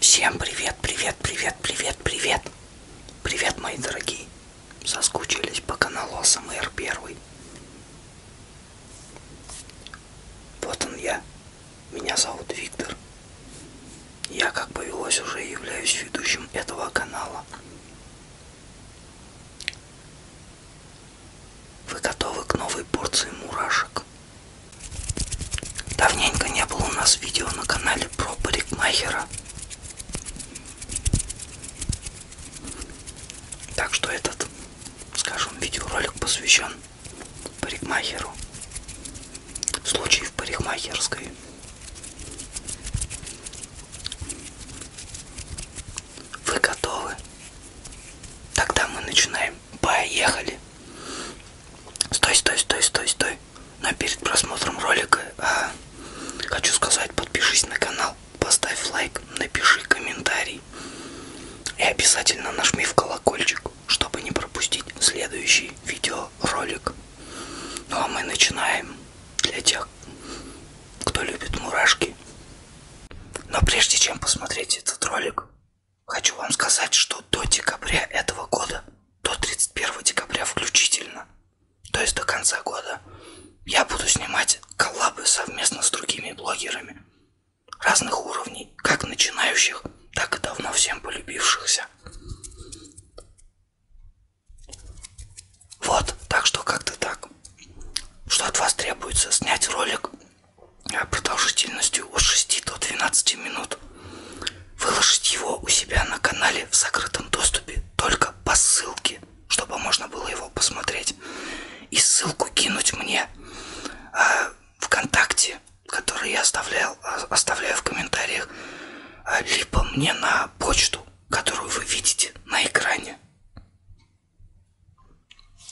Всем привет, привет, привет, привет, привет. Привет, мои дорогие. Соскучились по каналу СМР первый. Вот он я. Меня зовут Виктор. Я, как повелось, уже являюсь ведущим этого канала. Вы готовы к новой порции мурашек? Давненько не было у нас видео на канале про парикмахера. Так что этот, скажем, видеоролик посвящен парикмахеру. Случай в парикмахерской. Вы готовы? Тогда мы начинаем. Поехали! Стой, стой, стой, стой, стой. Но перед просмотром ролика а, хочу сказать, подпишись на канал, поставь лайк, напиши комментарий и обязательно нажми в колокольчик, чтобы не пропустить следующий видеоролик. Ну а мы начинаем для тех, кто любит мурашки. Но прежде чем посмотреть этот ролик, хочу вам сказать, что до декабря этого года, до 31 декабря включительно, то есть до конца года, я буду снимать коллабы совместно с другими блогерами разных уровней, как начинающих, так и давно всем полюбившихся. Вот, так что как-то так. Что от вас требуется? Снять ролик продолжительностью от 6 до 12 минут. Выложить его у себя на канале в закрытом доступе только по ссылке, чтобы можно было его посмотреть. И ссылку кинуть мне э, ВКонтакте, который я оставлял, а, оставляю в комментариях, а, либо мне на почту которую вы видите на экране.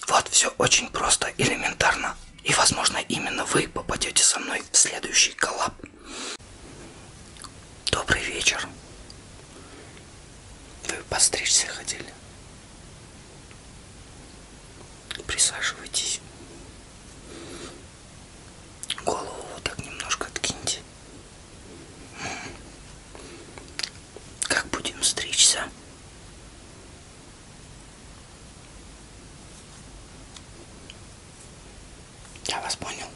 Вот все очень просто, элементарно. И возможно именно вы попадете со мной в следующий коллаб. Добрый вечер. Вы постричься хотели? Присаживайтесь. Голову вот так немножко откиньте. Как будем стричься? Я вас понял.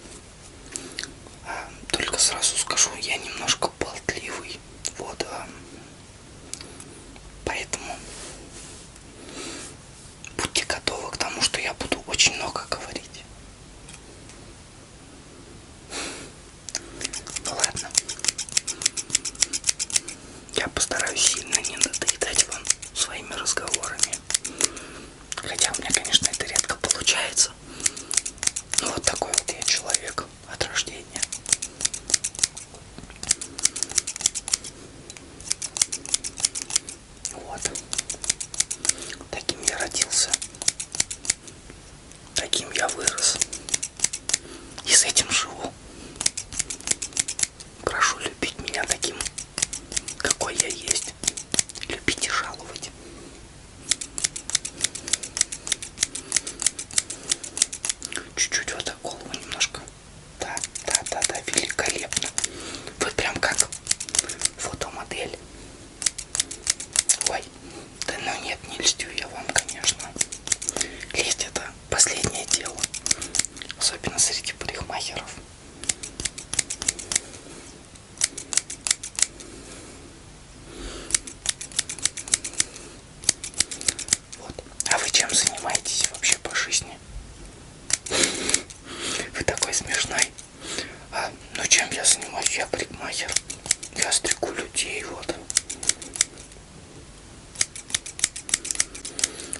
А, только сразу скажу, я немножко болтливый. Вот. А, поэтому будьте готовы к тому, что я буду очень много говорить. Ну ладно. Я постараюсь сильно не надоедать вам своими разговорами. Хотя у меня, конечно, это редко получается. Но ну, вот такой вот я человек от рождения. Вот. Таким я родился. Таким я вырос. И с этим живу. Прошу любить меня таким, какой я есть. Любить и жаловать. Чуть-чуть вот так голову немножко. Да, да, да, да, великолепно. Вы прям как фотомодель. Ой, да ну нет, не льстю я вам, конечно. Лезть это последнее дело. Особенно среди парикмахеров. Вот. А вы чем занимаетесь вообще по жизни? жизни. Вы такой смешной. А, ну чем я занимаюсь? Я парикмахер. Я стрику людей, вот.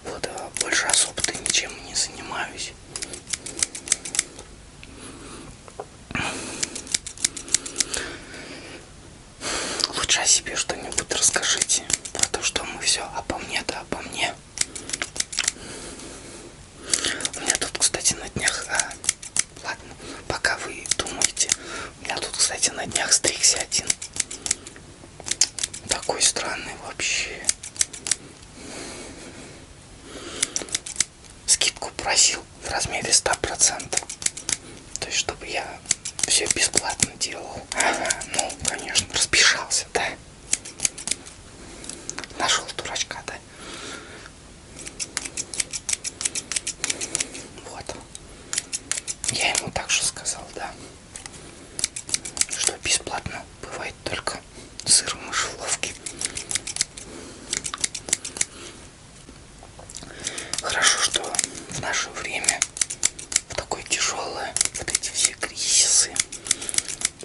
Вот, а больше особо-то ничем не занимаюсь. Лучше о себе что-нибудь расскажите. Про то, что мы все обо мне, да обо мне. У меня тут, кстати, на днях... А, ладно, пока вы думаете. У меня тут, кстати, на днях стригся один. Такой странный вообще. Скидку просил в размере 100%. То есть, чтобы я все бесплатно делал. Ага, ну, конечно, распишался, да. Нашел дурачка, да? Вот. Я ему так же сказал, да. Что бесплатно бывает только сыр в мышеловке. Хорошо, что в наше время в такое тяжелое, вот эти все кризисы,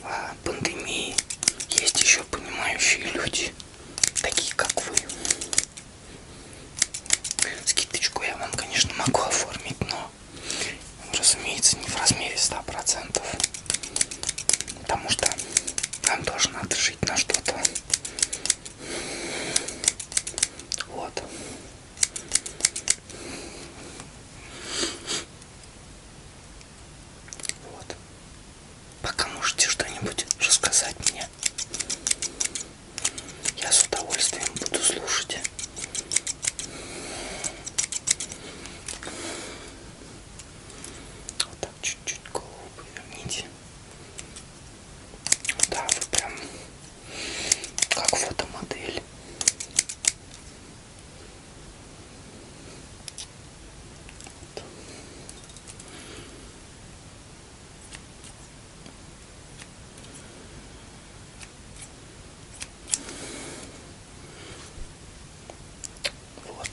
а, пандемии, есть еще понимающие люди, такие как вы. Скидочку я вам, конечно, могу оформить, но, разумеется, не в размере 100%. Потому что нам тоже надо жить на что-то. Вот. Вот. Пока можете что-нибудь рассказать мне. Я с удовольствием буду слушать. Вот так чуть-чуть голову поверните. Да, вы прям как фотомодель. Вот. Вот.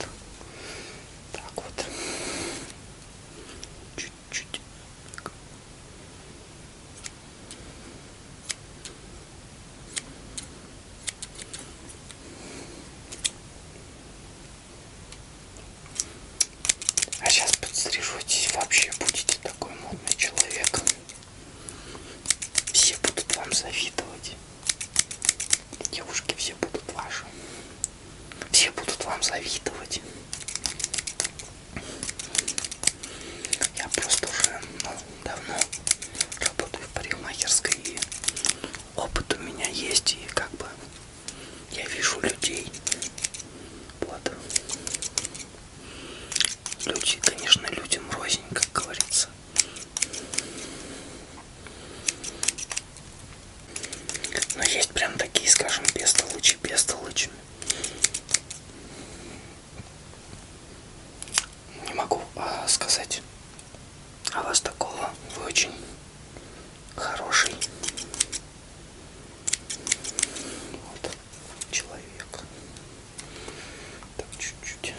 Так вот. Чуть-чуть. А сейчас подстрижетесь, вообще будете такой модный человек. Все будут вам завидовать. Девушки все будут ваши. Все будут вам завидовать. Я просто уже ну, давно работаю в парикмахерской и опыт у меня есть и как бы я вижу людей. Вот. Люди, конечно, людям рознь, как говорится. Но есть прям такие, скажем, бестолочи, бестолочи. Не могу а, сказать о а вас такого. Вы очень хороший вот, человек. Так, чуть-чуть.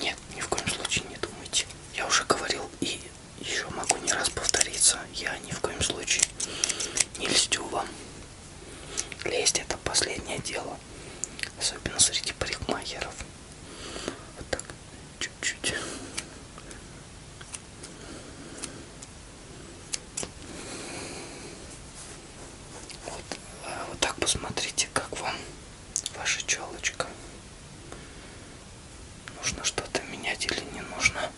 Нет, ни в коем случае не думайте я уже говорил и еще могу не раз повториться, я ни в коем случае не льстю вам. Лезть это последнее дело, особенно среди парикмахеров. Вот так, чуть-чуть. Вот, а вот так посмотрите, как вам ваша челочка. Нужно что-то менять или не нужно?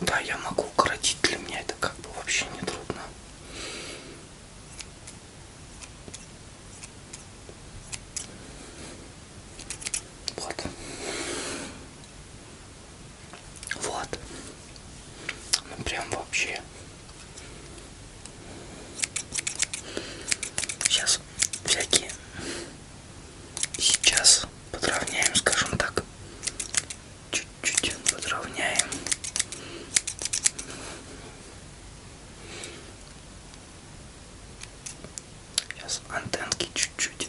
Да, я могу укоротить, для меня это как бы вообще не трудно. Вот. Вот. Ну прям вообще. Сейчас всякие. Сейчас подровняем, скажем так. Чуть-чуть подровняем. Сейчас антенки чуть-чуть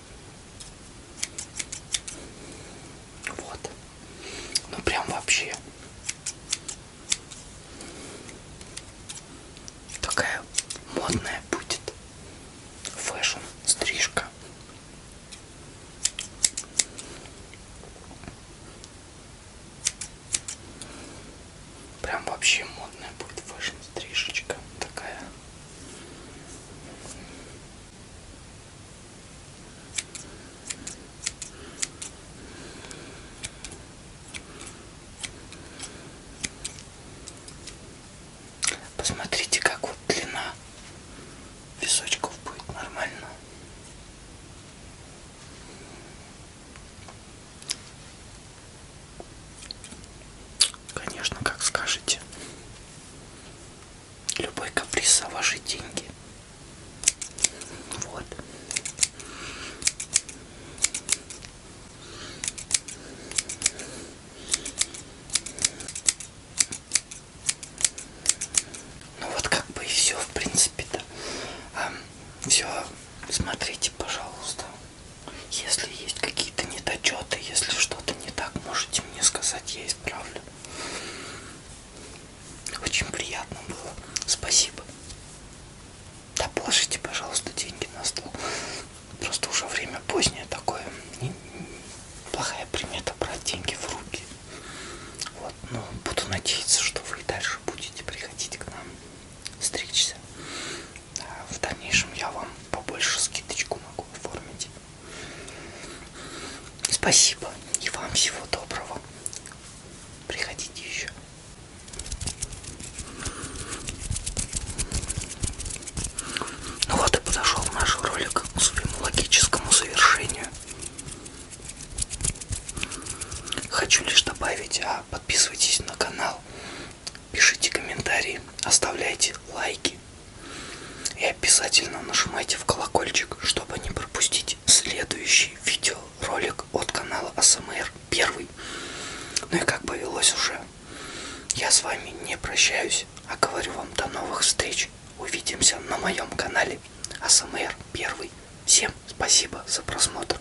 Вот. Ну прям вообще. Такая модная будет фэшн стрижка. Прям вообще модная будет фэшн стрижечка такая. Посмотрите, как вот длина песочков будет нормально. Конечно, как скажете. Любой каприз за ваши деньги. Вот. Ну вот как бы и все, в принципе-то. Все, смотрите, пожалуйста. Если есть какие-то недочеты, если что-то не так, можете мне сказать, я исправлю. Очень приятно было. Спасибо. Да положите, пожалуйста, деньги на стол. Просто уже время позднее такое. И плохая примета брать деньги в руки. Вот, но буду надеяться, что вы и дальше будете приходить к нам стричься. А в дальнейшем я вам побольше скидочку могу оформить. Спасибо и вам всего доброго. Приходите еще. Ну вот и подошел наш ролик к своему логическому завершению. Хочу лишь добавить, а подписывайтесь на канал, пишите комментарии, оставляйте лайки и обязательно нажимайте в колокольчик, чтобы не пропустить следующий видеоролик от канала АСМР первый. Ну и как повелось уже, я с вами не прощаюсь, а говорю вам до новых встреч. Увидимся на моем канале АСМР первый. Всем спасибо за просмотр.